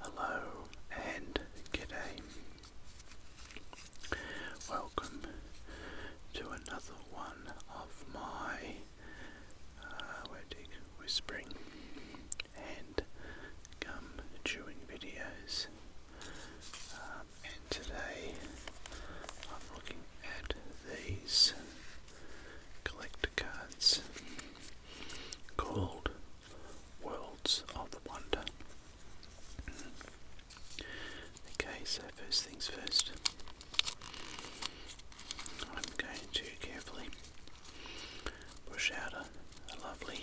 Hello and g'day. Welcome to another one of my uh, whispering and gum chewing videos. Um, and today I'm looking at these collector cards called Worlds of Wonder. Okay, so first things first, I'm going to carefully push out a, lovely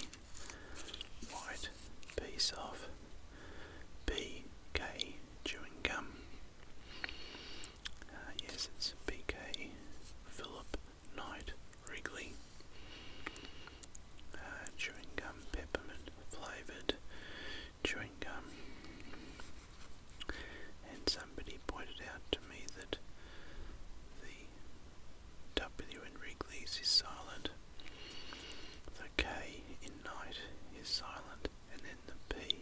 white piece of BK chewing gum. Uh, yes, it's BK Philip Night Wrigley. Uh, chewing gum, peppermint flavoured chewing gum. And somebody pointed out to me that the W in Wrigley's is silent. The K in night is silent, and then the P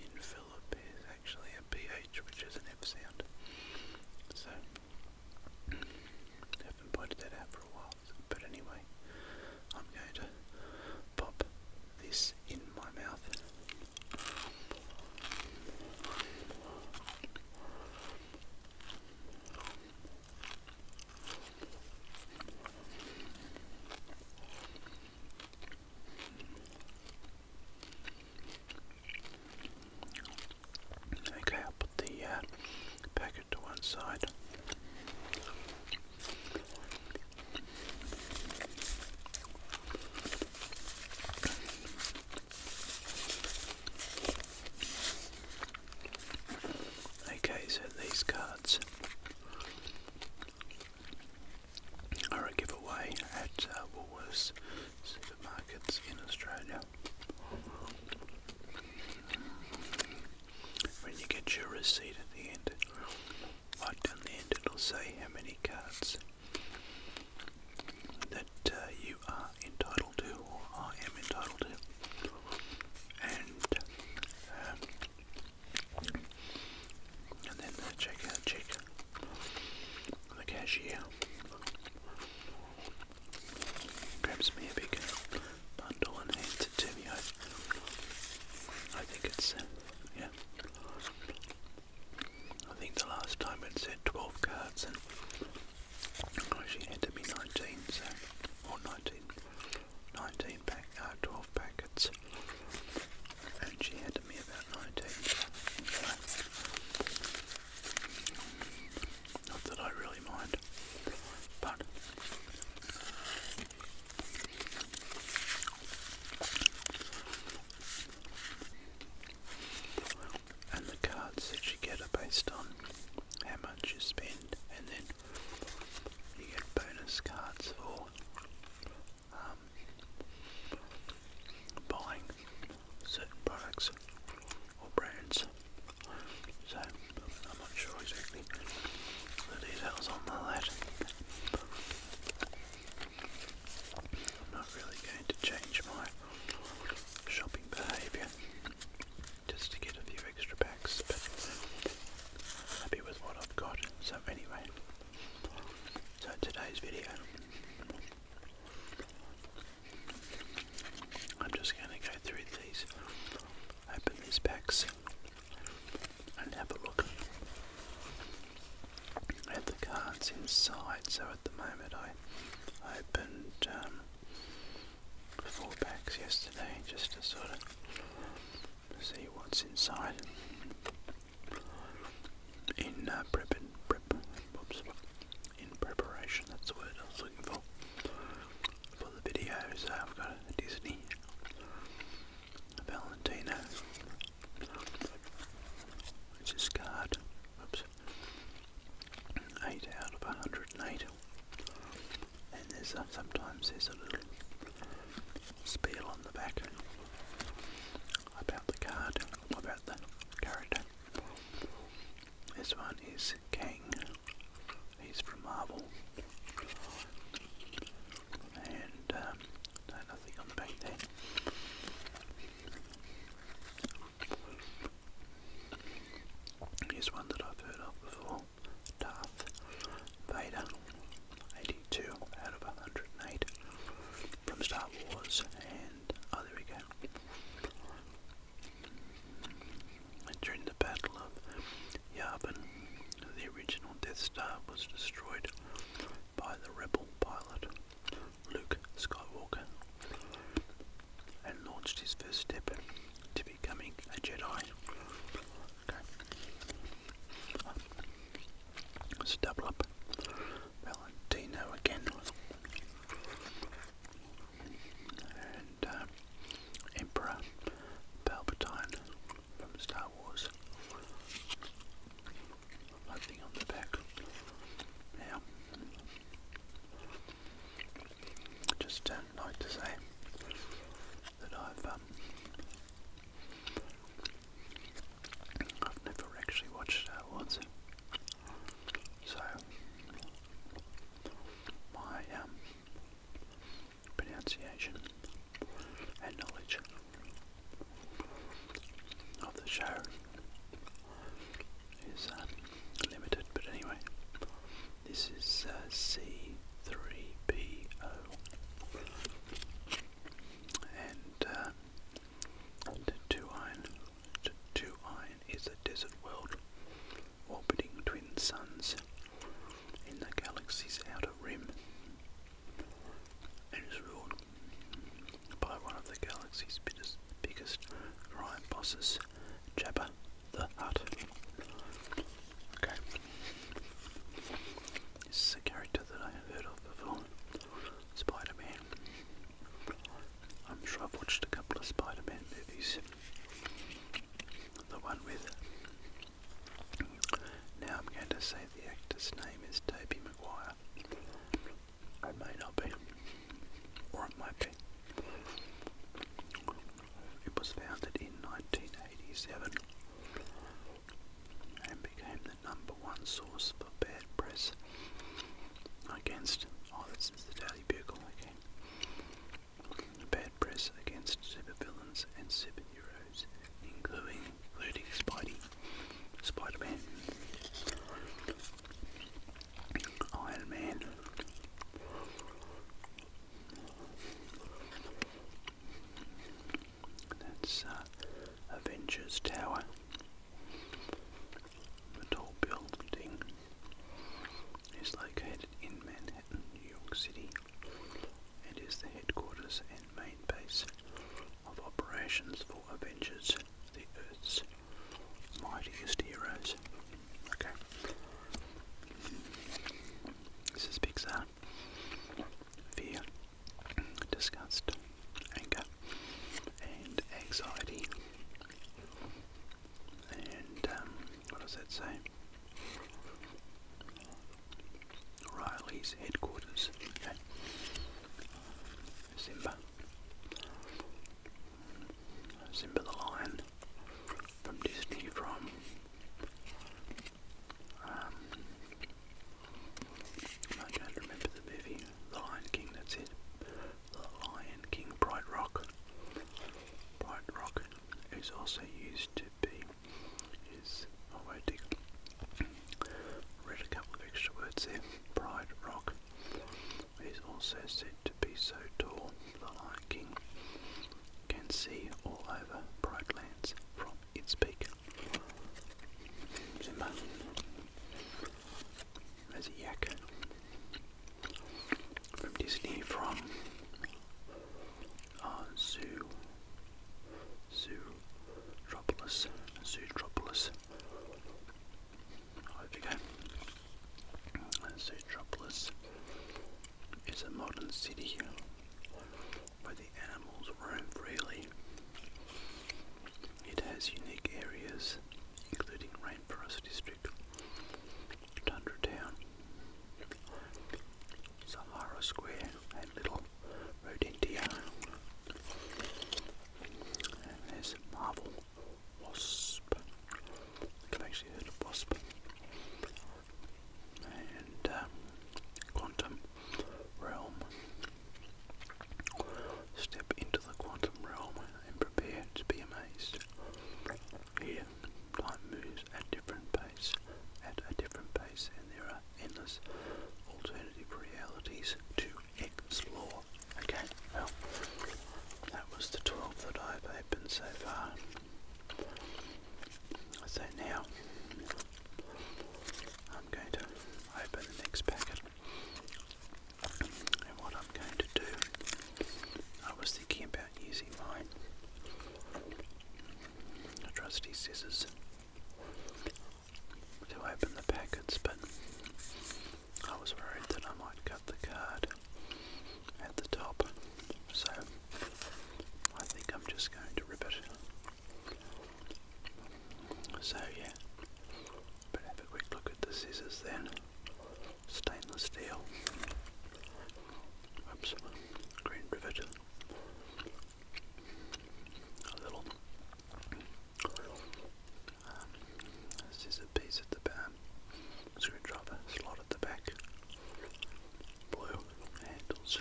in Philip is actually a PH, which is an F sound. So, haven't pointed that out for a while, but anyway, I'm going to pop this in my mouth. Okay, I'll put the uh, packet to one side. Okay, so these cards are a giveaway at uh, Woolworths supermarkets in Australia. When you get your receipt at the end, right down the end it'll say how many cards that uh, you are entitled to or I am entitled to. And um, and then the checkout check the cashier grabs me a big bundle and hands it to me. I, think it's, uh, yeah. I think the last time it said 12 cards and she handed me 19, so, or 19, pack, uh, 12 packets. And she handed me about 19. Not that I really mind, but and the cards that you get are based on how much you spend, and then you get bonus cards for um, buying certain products or brands. So I'm not sure exactly the details on that. I'm not really going to change my shopping behaviour just to get a few extra packs, but happy with what I've got. So anyway, so today's video I'm just going to go through these, open these packs, and have a look at the cards inside. So at the moment, I opened um, four packs yesterday just to sort of see what's inside in uh, prep Oops in preparation, that's the word I was looking for, for the videos. So I've got a Disney, Valentino, which is card, oops, 8 out of 108. And there's sometimes there's a little spiel on the back about the card, about the character. This one is Kang. He's from Marvel. And um, on the back there. Here's one that I've heard of before. Darth Vader. 82 out of 108 from Star Wars. And oh, there we go. During the Battle of Yavin, the original Death Star was destroyed by the rebel pilot Luke Skywalker and launched his first step to becoming a Jedi. Okay. let double up. Valentino again. And uh, Emperor Palpatine from Star Wars. Nothing on the back. Now, just like to say that I've um, I've never actually watched Star Wars. So my um, pronunciation and knowledge of the show is uh, limited, but anyway, this is uh, C3PO, and uh, to iron 2 Iron is a desert world orbiting twin suns in the galaxy's outer rim and is ruled by one of the galaxy's biggest, biggest crime bosses, Jabba the Hutt. Okay. This is a character that I have heard of before. Spider Man. I'm sure I've watched a couple of Spider Man movies. The one with. Now I'm going to say the actor's name is Toby Maguire. It may not be. Or it might be. It was founded in 1987 and became the number one source for bad press against. Oh, press the Daily Bugle, okay? Bad press against supervillains and superheroes, including, including Spidey, Spider-Man, Iron Man, that's uh, Avengers Tower. The tall building is located in Manhattan, New York City, and is the headquarters and main base of operations for Avengers, the Earth's mightiest heroes. Okay. This is Pixar. Fear, disgust, anger, and anxiety and um, what does that say? Riley's headquarters. Simba. Simba the Lion from Disney from um, I don't remember the movie. The Lion King, that's it. The Lion King, Bright Rock. Bright Rock is also used to be, is, oh wait, read a couple of extra words there. Bright Rock is also said to be so tall, The Lion King can see all over bright lands from its peak. Simba, as a yak, from Disney from uh, Zoo, Zootropolis, Zootropolis. There oh, we go. Zootropolis is a modern city where the animals roam freely. It has unique areas, including rainforest districts. Tundra Sahara Square, and Little Rodentia. there's Marvel Wasp. I've actually heard of Wasp. And um, Quantum Realm. Step into the Quantum Realm and prepare to be amazed. Here, time moves at different pace, at a different pace, and there are endless alternative realities to explore. Okay, well, that was the 12 that I've opened so far. So now, I'm going to open the next packet and what I'm going to do, I was thinking about using my trusty scissors to open the packets, but I was worried that I might cut the card at the top, so I think I'm just going to rip it. So, yeah, have a quick look at the scissors then. Stainless steel. Oops, green rivet. A little scissor um, piece at the back. Screwdriver slot at the back. Blue handles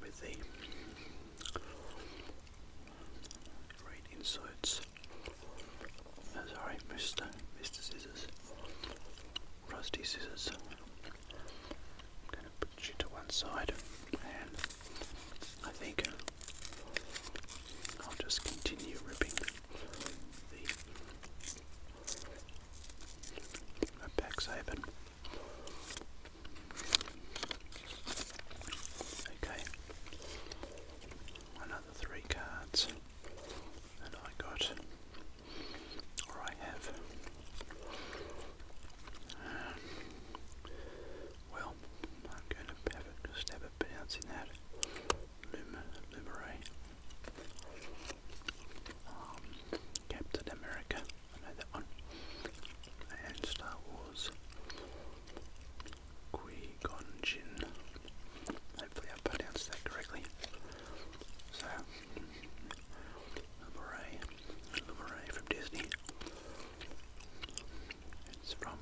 with the green inserts. Oh, sorry, Mr. Mr. Scissors. Rusty scissors. going to put you to one side, and I think uh, I'll just continue ripping the back's open. Okay, I other three cards, and I got, or I have, um, well, I'm going to have a just have a that Lum Lumere, um, Captain America, I know that one, and Star Wars. Guigonjin. Hopefully I pronounced that correctly. So, Lemuray, Lemuray from Disney. It's from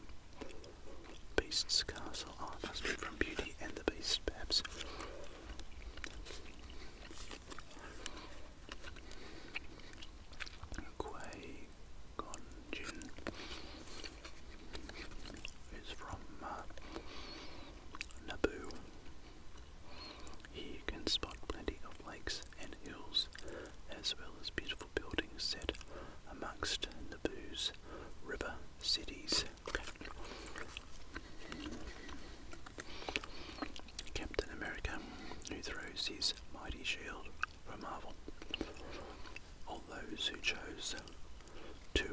Beast's Castle. Oh, must be from Beauty and the Beast, perhaps. Quay Gonjin is from uh, Naboo. Here you can spot plenty of lakes and hills, as well as beautiful buildings set amongst Naboo's river cities. Captain America, who throws his mighty shield for Marvel all those who chose to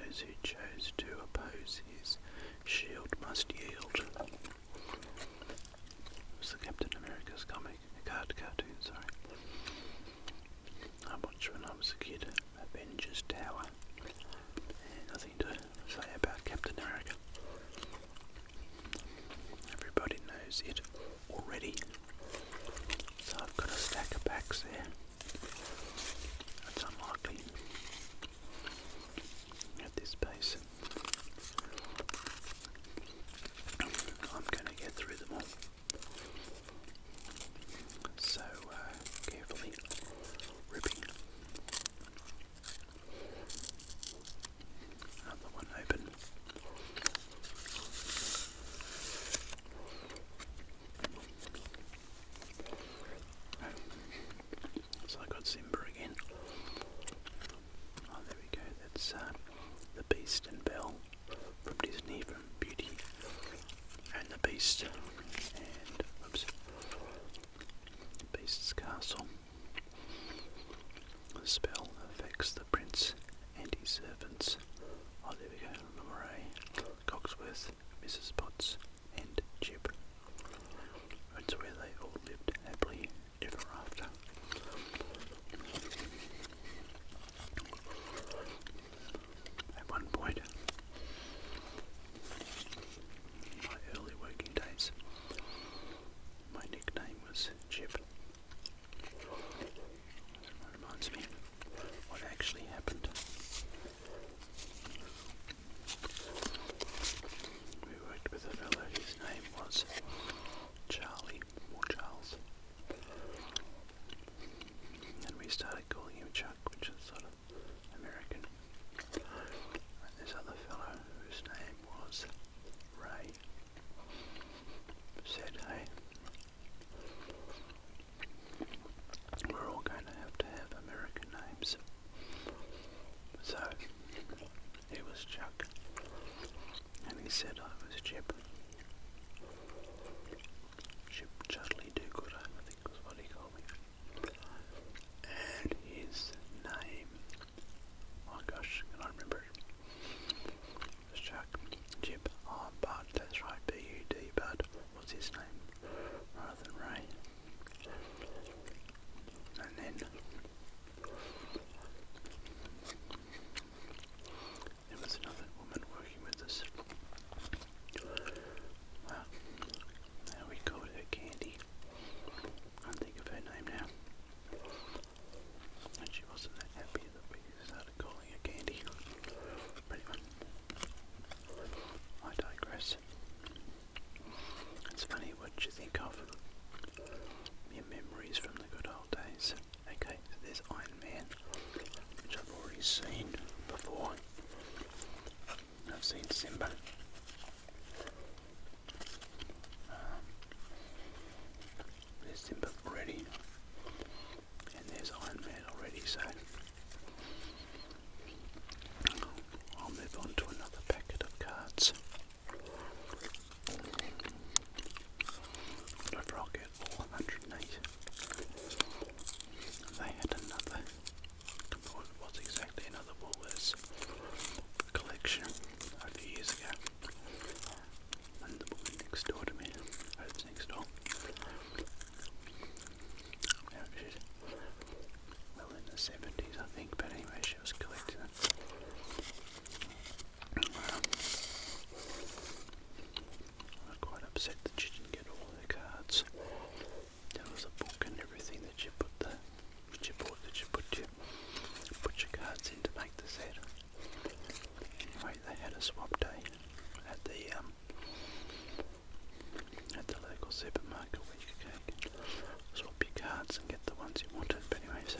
those who chose to oppose his shield must yield. was the Captain America's comic card cartoon, sorry. I watched when I was a kid Avengers Tower. nothing to say about Captain America. Everybody knows it already. So I've got a stack of packs there. That's unlikely at this pace. I'm going to get through them all. So uh, carefully ripping so I got Simba again. Oh, there we go. That's uh, the Beast and Belle from Disney from Beauty and the Beast. And, oops, Beast's Castle. The spell affects the prince and his servants. Oh, there we go. Moray, Cogsworth, Mrs. Potts, and Jib. That's where they all lived happily ever after. At one point, my early working days, my nickname was Jib. Reminds me what actually happened. We worked with a fellow, his name was Charlie or Charles. And we started calling him Chuck, which is sort of American. And this other fellow whose name was Ray said, hey, we're all going to have to have American names. So he was Chuck, and he said I was Chip. Chip Chudley Do I think was what he called me. And his name Oh gosh, I remember Let's check. Jib. Oh, ah, Bud, that's right. B-U-D, Bud. What's his name? Rather Ray. And then... There was another woman working with us. Well, now we called her Candy. can't think of her name now. And she wasn't that happy that we started calling her Candy. But I digress. It's funny what you think of your memories from the good old days. Okay, there's Iron Man, which I've already seen before. I've seen Simba. Um, there's Simba already. And there's Iron Man already, so I'll move on to another packet of cards. Whenever I'll 108. They had another, what was exactly another Woolworths collection a few years ago and the woman next door to me, I next door, well in the 70s I think, but anyway she was collecting it. I was quite upset that she didn't get all her cards. There was a book and everything that you put the, that you bought, that you put your cards in to make the set. Anyway, they had a swap day at the um, at the local supermarket where you could swap your cards and get the ones you wanted. But anyway, so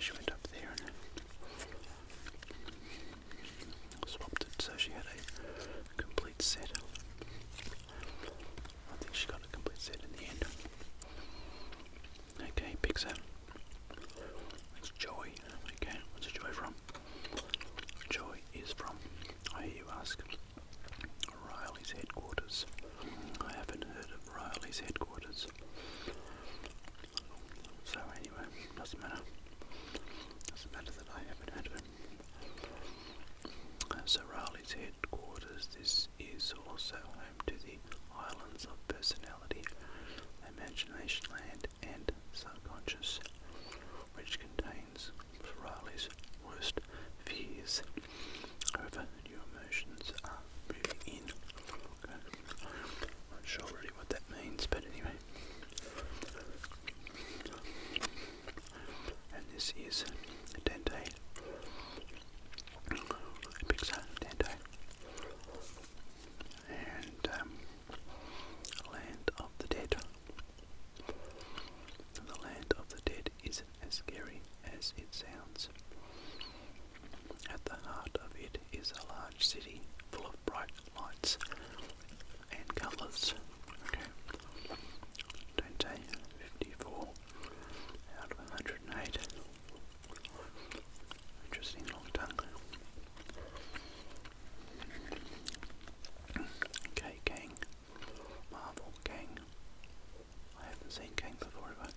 she, went up there and swapped it. So she had a complete set. I think she got a complete set in the end. Okay, Pixar. It's Joy. Okay, what's Joy from? Joy is from, I hear you ask, Riley's headquarters. I haven't heard of Riley's headquarters. So anyway, doesn't matter. Doesn't matter that I haven't heard of him. Uh, so Riley's headquarters, this is also home to the Islands of Personnel imagination land, and subconscious, which contains Ferrari's worst fears. However, new emotions are moving in. Okay. Not sure really what that means, but anyway. And this is Dante. Pixar Dante and um, Land of the Dead. The Land of the Dead isn't as scary as it sounds. At the heart of it is a large city full of bright lights and colours. Okay. Dante, out of 108. Interesting long tongue. Okay, Kang. Marvel Kang. I haven't seen Kang before, have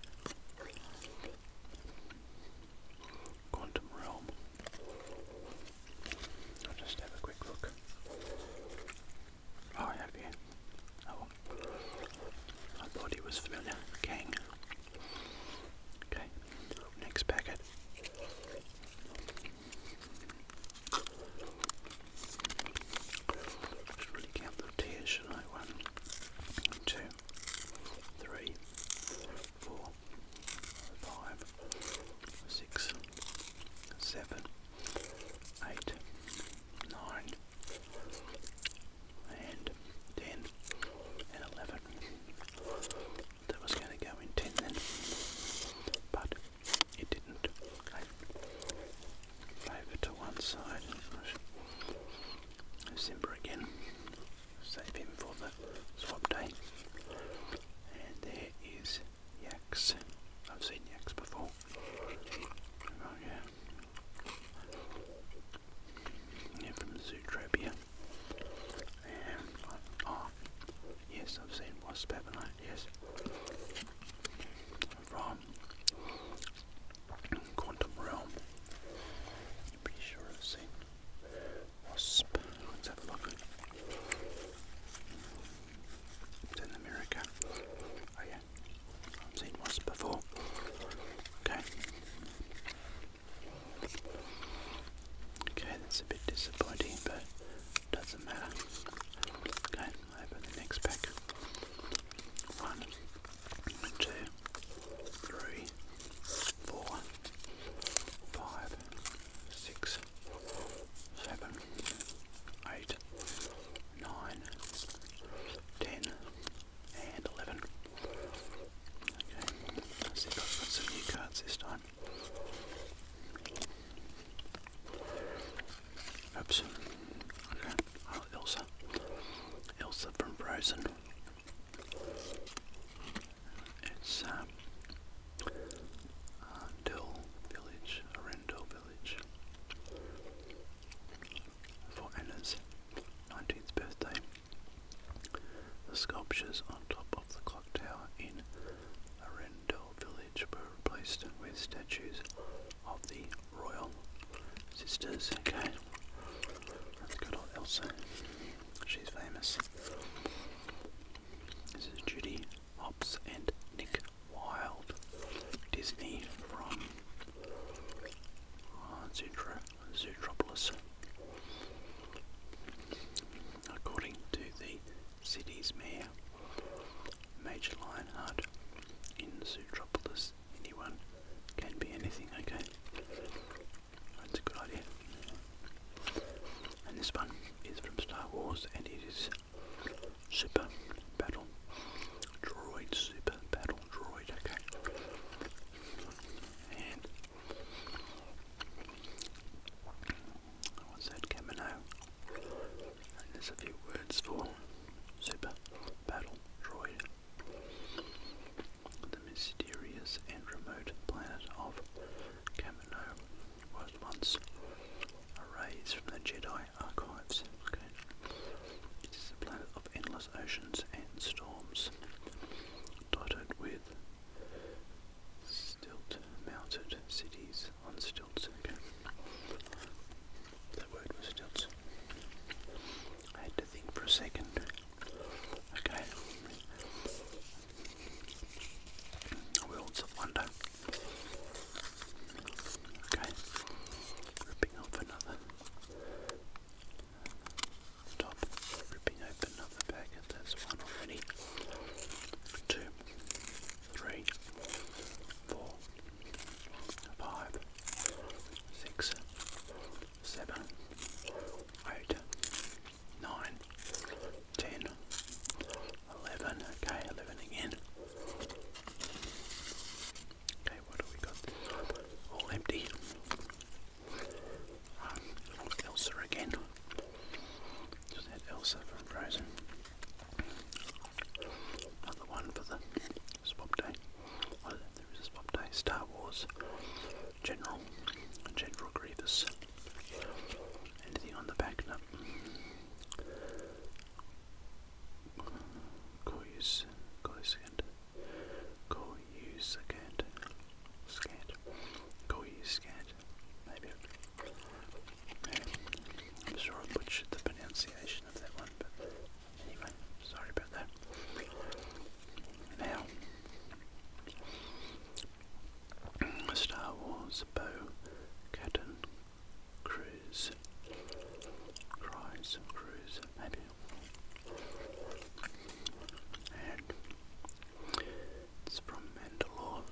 Quantum Realm. I'll just have a quick look. Oh, I have you. Oh, I thought he was familiar. Kang. Okay. Next packet. Just really count the tears, should I? One, two, three, four, five, six, seven, eight, nine, and 10 and 11. That was going to go in 10 then, but it didn't. I favour to one side. Simber again. Save him for the swap day. And there is yaks. I've seen yaks before. Oh yeah yeah, from the Zootopia. oh, yes, I've seen Wasp, have Yes. From Quantum Realm. I'm pretty sure I've seen Wasp. Let's have a look. It's in America. Oh yeah, I've seen Wasp before. Okay. Okay, that's a bit disappointing, but doesn't matter. Okay, open the next pack. One, two, three, four, five, six, seven, eight, nine, ten, and 11. Okay, let's see if I've got some new cards this time. Oops. Okay, oh, Elsa. Elsa from Frozen. It's, um, uh, Village, Arendelle Village. For Anna's 19th birthday. The sculptures on top of the clock tower in Arendelle village were replaced with statues of the royal sisters. Okay, that's good old Elsa. She's famous. This is Judy Hopps and Nick Wilde. Disney from uh, Zootropolis. According to the city's mayor, Major Lionheart, in Zootropolis, anyone can be anything, okay? That's a good idea. And this one is from Star Wars and it is Super Battle Droid, Super Battle Droid, okay? What's that, Camino? And there's a few words for Super Battle Droid. The mysterious and remote planet of Camino was once erased from the Jedi archives. Okay. It is a planet of endless oceans and storms, dotted with stilt-mounted cities on stilts. That word was stilts. I had to think for a second. Okay. Worlds of wonder. Okay. Ripping off another Stop ripping open another packet. That's one already. Two, three, four, five, six, seven, eight, nine, ten, eleven. Okay, eleven again. Okay, what do we got? All empty. Um, Elsa again. Just had Elsa from Frozen. Another one for the swap day. Oh, there is a swap day. Star Wars. General. General Grievous. Anything on the back? No. Coys. Coys and Go use scat. Scat. Go use scat. Maybe. I'm sure I butchered the pronunciation of that one, but anyway, sorry about that. Now, Star Wars Bo Catton Cruise. Cries, Cruise, maybe. And it's from Mandalore.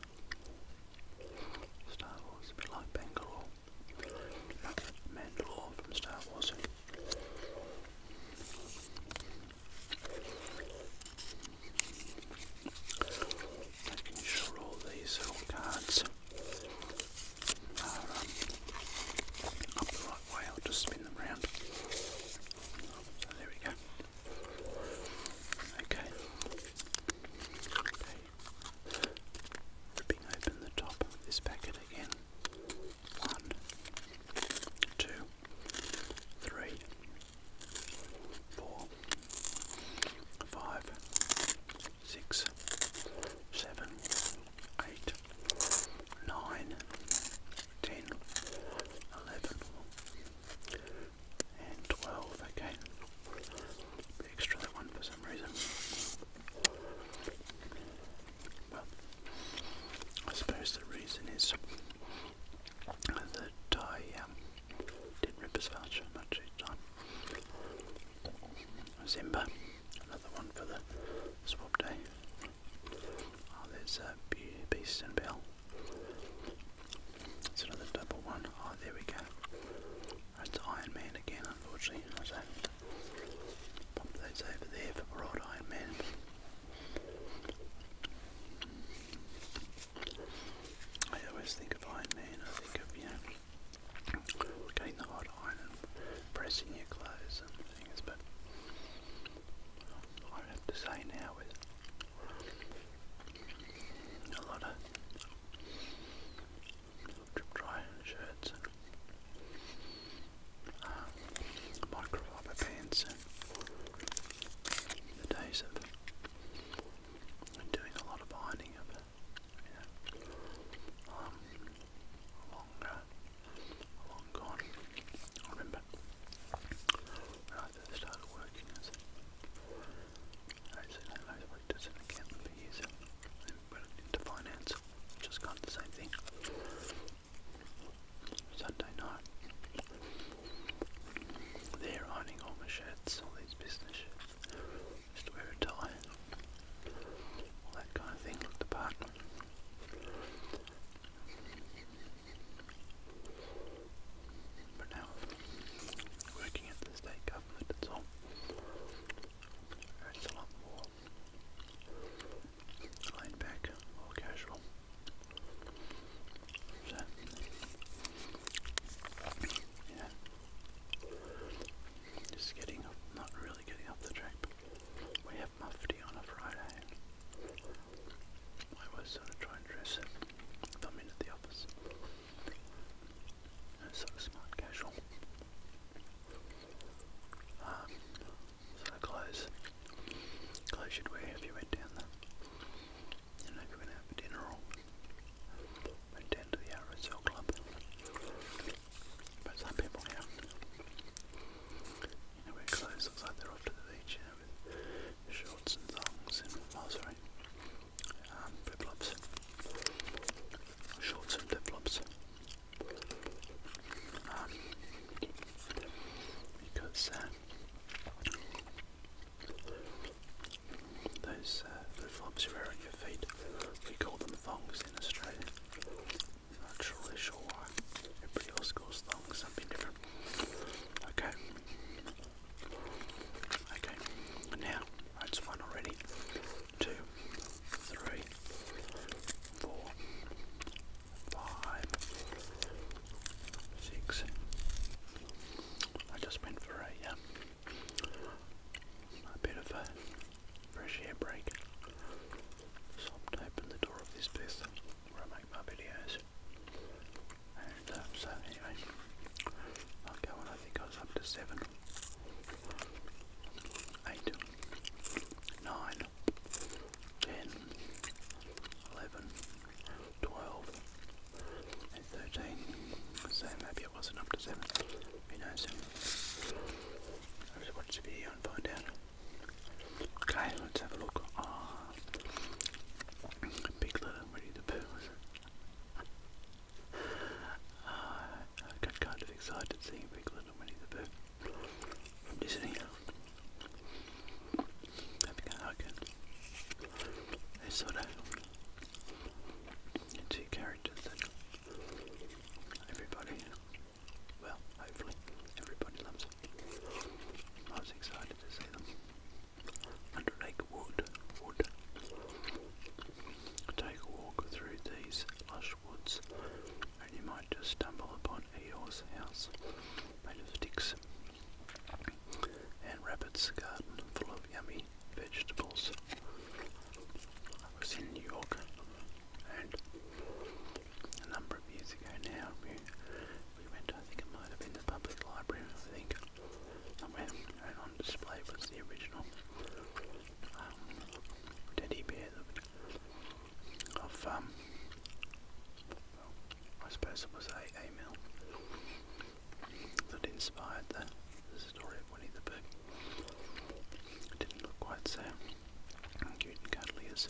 Star Wars, a bit like Bangalore. Mandalore from Star Wars. Making sure all these cards are um, up the right way. I'll just spin them round. there we go. Okay. Okay. Ripping open the top of this packet again. One, two, three, four, five, six, seven, eight, nine, 10, 11, and 12. Okay, extra that one for some reason. Well, I suppose the reason is that I um, didn't rip as fast much each time. Zimba, another one for the swap day. Oh, there's a Beast and Bell. It's another double one. Oh, there we go. That's Iron Man again, unfortunately. pop those over there for poor Iron Man. I always think of Iron Man, I think of, you know, getting the hot iron pressing your clothes and things, but I have to say now is a lot of drip dry shirts uh, microfiber pants the days of doing a lot of ironing of you um, long gone. I remember when I first started working as I said I worked as an accountant for years and went into finance, which kind of the same thing. Sunday night. They're ironing all my shirts, all these business shirts. Just wear a tie. All that kind of thing, looked apart. But now, working at the state government itself, it's a lot more laid back or casual. So, yeah, just getting up, not really getting off the track. we have mufti on a Friday. I was sort to try and dress if i the office. It's smart casual. Um, sort of clothes. Clothes you'd wear if you went down the, you know, if out for dinner or went down to the RSL club. But some people now, you know, wear clothes looks like they're off to the beach shorts and thongs in Australia. sorry, flip-flops, shorts and flip-flops, because uh, those uh, flip-flops you wear on your feet, we call them thongs in Australia. not really sure why. Everybody else calls thongs something different. Okay. Okay. Now that's one already. Two, three, four, five, six. I just went for a uh, a bit of a fresh air break. So I'm the door of this booth where I make my videos. Um, so anyway, i go on, I think I was up to seven, eight, nine, ten, eleven, twelve, and thirteen. So maybe it wasn't up to seven. Who knows? I'll just watch the video and find out. let's have a look. Ah. Piglet, I'm ready to I got uh, kind of excited seeing Piglet, I'm ready to poo. From Disney. Having a hug. They sort of two characters that everybody, well, hopefully, everybody loves. I was excited to see them. Undertake wood, wood. Take a walk through these lush woods, and you might just stumble upon Eeyore's house made of sticks, and Rabbit's garden full of yummy vegetables. I was in New York, and a number of years ago now, we went, I think it might have been in the public library, I think. Somewhere and on display was the original um, teddy bear of, um, I suppose was A. A. that inspired the story of Winnie the Pooh. It didn't look quite so cute and cuddly as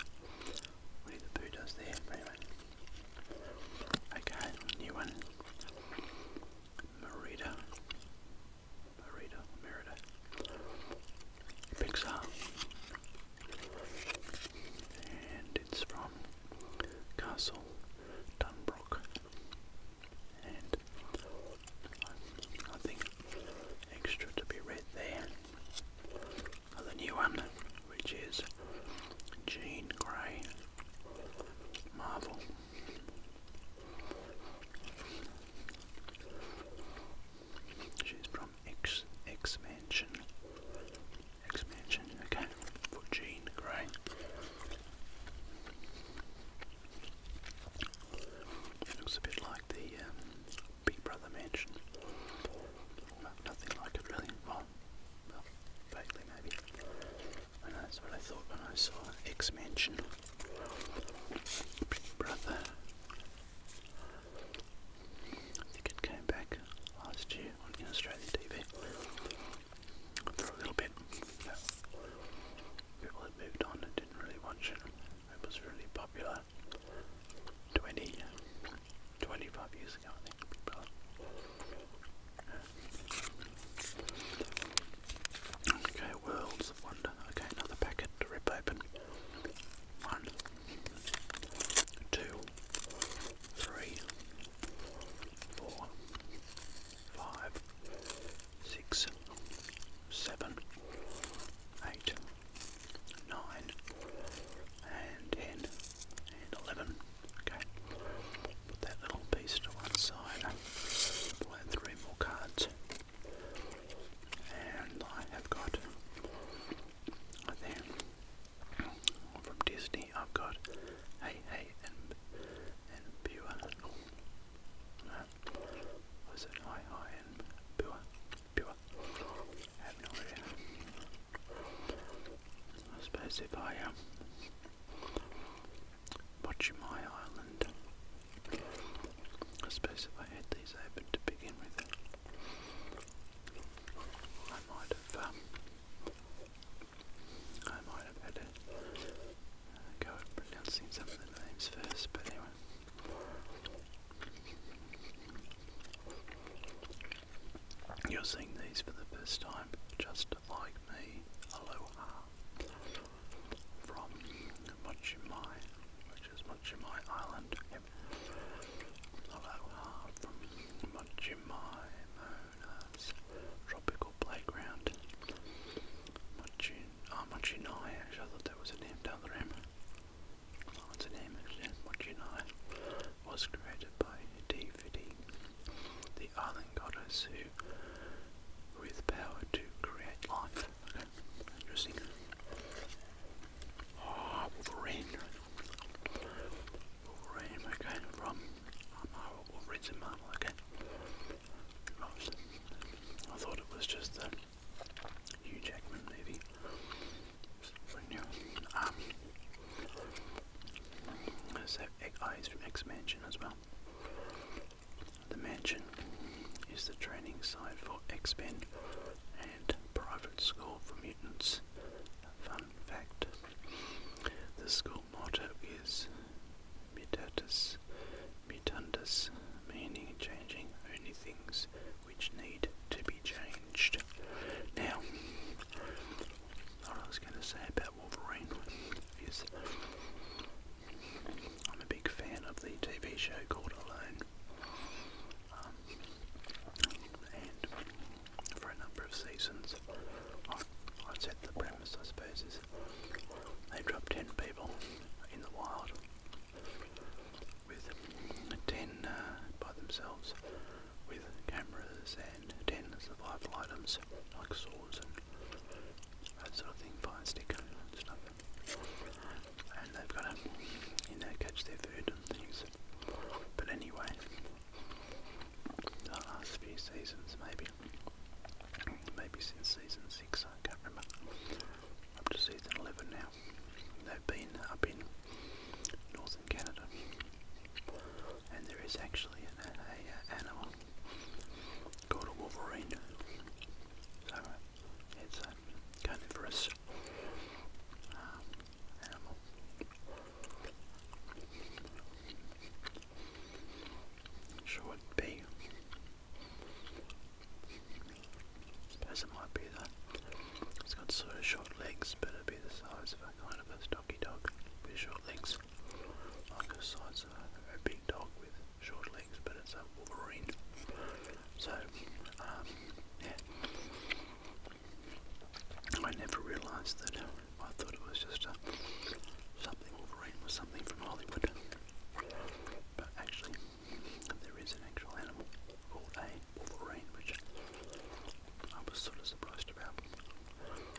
Okay, new one. Merida. Merida, Merida. Pixar. And it's from Castle Dunbrook. And I think extra to be read there the new one, which is Jean Grey Marvel. She's from X X Mansion. X okay, for Jean Grey. looks a bit like the um, Big Brother Mansion. Nothing like it really. well Vaguely, maybe. that's what I thought when I saw X Mansion. Big Brother. I think it came back last year on Australian TV for a little bit. people had moved on and didn't really watch it. It was really popular 20, years Okay, Worlds of Wonder. Okay, another packet to rip open. One, two, three, four, five, six, seven, eight, nine, and ten and 11. Okay, put that little piece to one side. Pull out three more cards. And I have got, I think, from Disney, I've got Hey Hey and, and Pure. No, uh, was it Hi Hi and Pure? Pure. I have no idea. I suppose if I um, watch my island, I suppose if I had these open to begin with, I might have um, I might have had a uh, go at pronouncing some of the names first, but anyway. You're seeing these for the first time, just like me. Aloha from Mochimai, which is Mochimai Island. Aloha from Mochimai Mona's tropical playground. Mochin, ah, I thought that was a name down the rim. Oh, a name actually was created by Aphrodite, the island goddess who, with power to create life. interesting. Ah, Wolverine. Wolverine, okay, from Marvel, Wolverine's Marvel, okay. I thought it was just the Hugh Jackman movie. Um, so eyes from X Mansion as well. The mansion is the training site for X-Men and private school for mutants. Fun fact. The school motto is mutatus mutandus, meaning changing only things which need to be changed. Now, what I was going to say about Wolverine is I'm a big fan of the TV show called Alone. Um, and for a number of seasons, i set the premise, I suppose, is they drop 10 people in the wild with 10 uh, by themselves with cameras and ten survival items like swords and that sort of thing, fire stick stuff. And they've got to, you know, catch their food and things. But anyway, the last few seasons, maybe, maybe since season six, I can't remember, up to season eleven now, they've been up in northern Canada. And there is actually an, animal called a wolverine. So it's a carnivorous um, animal. Sure be. I suppose it might be that it's got sort of short legs, but it'd be the size of a kind of a doggy dog with short legs. Like the size of a, a big dog with short legs, but it's a Wolverine. So, um, yeah. I never realised that. Uh, I thought it was just a, uh, something Wolverine was something from Hollywood. But actually, there is an actual animal called a Wolverine, which I was sort of surprised about.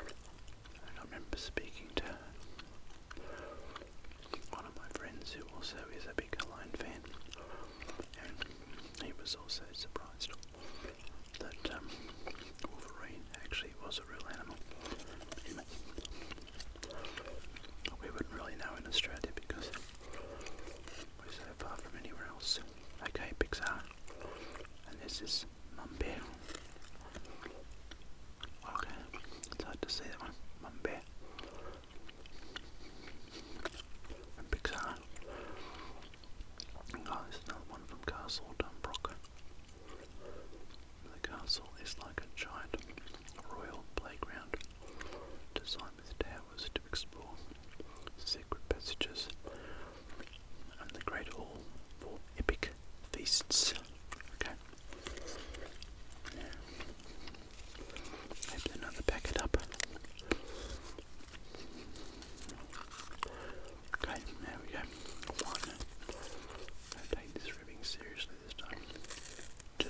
And I remember speaking to one of my friends who also is a big Lion fan, and he was also surprised that um, Wolverine actually was a real animal. We wouldn't really know in Australia because we're so far from anywhere else. Okay, Pixar. And this is Mumbi. Okay, it's hard to say that one. Mumbi. And Pixar. Oh, there's another one from Castle Dunbrock. The castle is like a giant royal playground designed with towers to explore secret passages and the Great Hall for epic feasts. Okay. another packet up. Okay, there we go. One. Don't take this ribbing seriously this time. Two.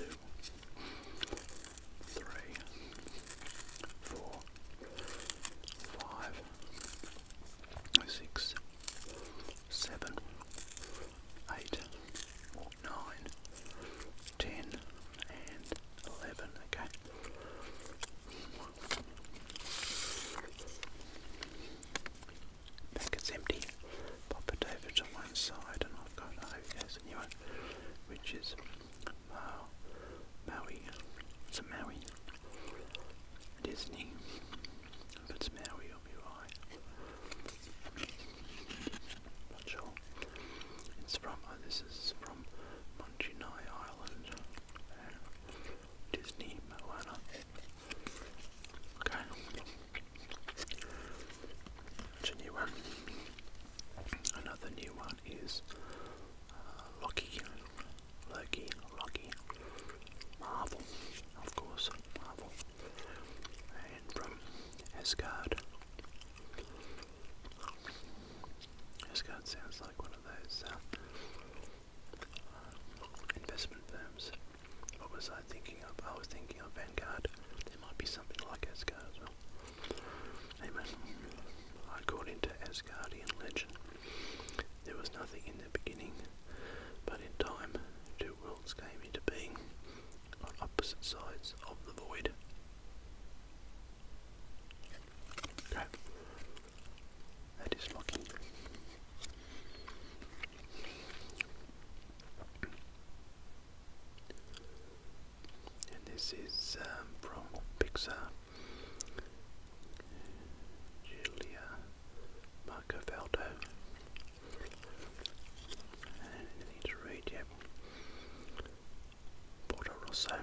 Three. Four. Five six, seven, eight, nine, ten, and eleven. Okay. Back it's empty. Pop it over to one side, and I've got oh, new one, which is Maui. Maui. Disney. But Mary will be Not sure. It's from, oh, this is from Monchinai Island. Disney, Moana. Okay. It's new one. Another new one is uh, Loki, Loki, Marvel, of course, Marvel, and from Asgard. Asgard sounds like one of those uh, um, investment firms. What was I thinking of? I was thinking of Vanguard. There might be something like Asgard as well. Amen. I got Asgardian legend there was nothing in the beginning, but in time, two worlds came into being on opposite sides of the void. That is locking. And this is um, from Pixar. Julia Marcoveldo. Anything to read yet? Porto Some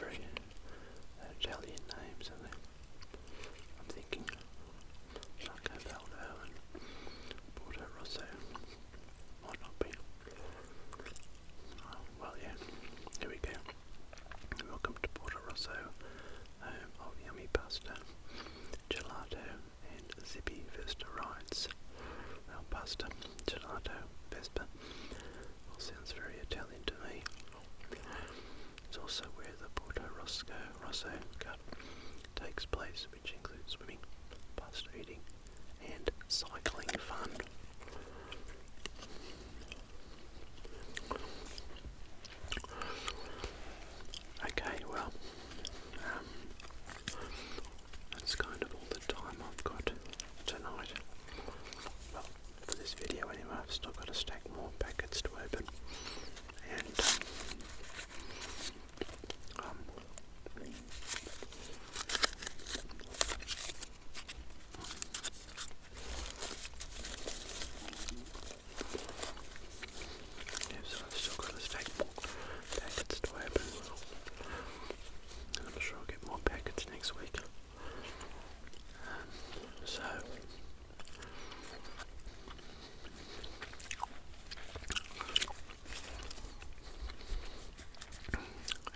very Italian names, are they? I'm thinking Marcoveldo and Porto might not be well, yeah, here we go. Welcome to Porto Rosso, home of yummy pasta, gelato, and zippy Vespa rides. pasta, gelato, Vespa, sounds very Italian to me. It's also where the Porto Rosso, Rosso Cup takes place, which includes swimming, pasta eating, and cycling fun. Okay, well, um, that's kind of all the time I've got tonight. Well, for this video anyway, I've still got a stack more packets to open. And, um, Yes, I've still got this take packets to open. I'm sure I'll get more packets next week. Um, so,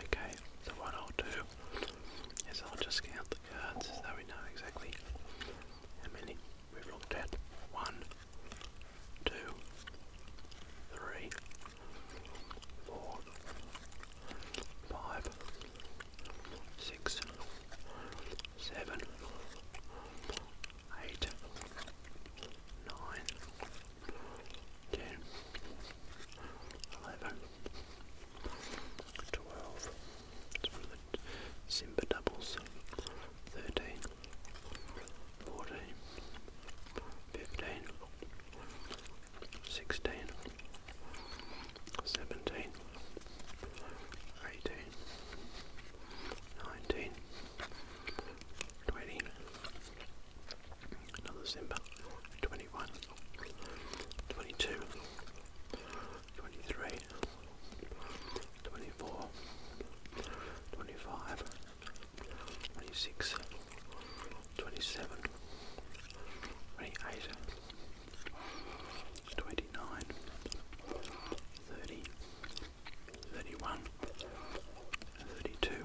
okay, so what I'll do so yes, I'll just count the cards so we know exactly how many we've looked at. One, two, three, four, five, six, seven, eight, nine, ten, eleven twelve. It's one of the Simba doubles. Thirteen, fourteen, fifteen, sixteen, seventeen, eighteen, nineteen, twenty. Another Simba. Twenty-one. 22 23 24 25 26 27 28 29 30 31 32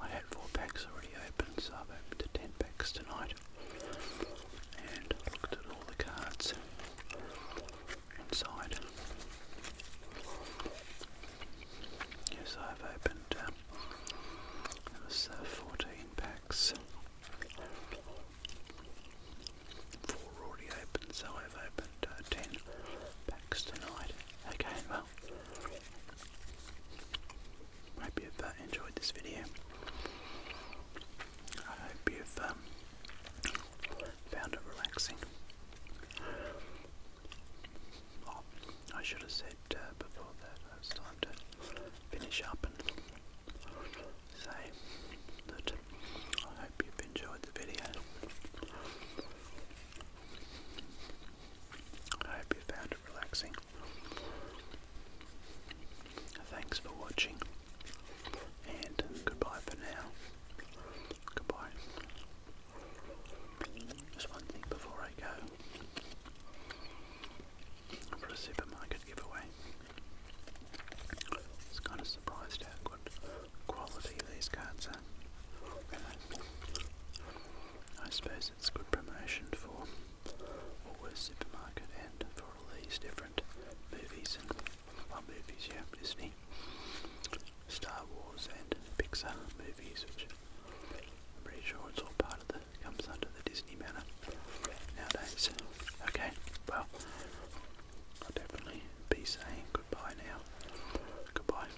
I had four packs already open, so I've opened ten packs tonight. And looked at all the cards inside. Yes, I've opened um, 14 packs. Four already open, so I've opened uh, 10 packs tonight. Okay, well, hope you've uh, enjoyed this video. I hope you've um, found it relaxing. Oh, I should have said uh, before that uh, it's time to finish up and say that I hope you've enjoyed the video. I hope you found it relaxing. Thanks for watching, and goodbye for now. Goodbye. Just one thing before I go for a supermarket giveaway. I kind of surprised how good quality these cards are. Really. I suppose it's good promotion for Woolworths Supermarket and for all these different movies and well, movies, yeah, Disney, Star Wars and Pixar movies, which I'm pretty sure it's all part of the comes under the Disney banner nowadays. Okay, well, I'll definitely be saying goodbye now. Goodbye.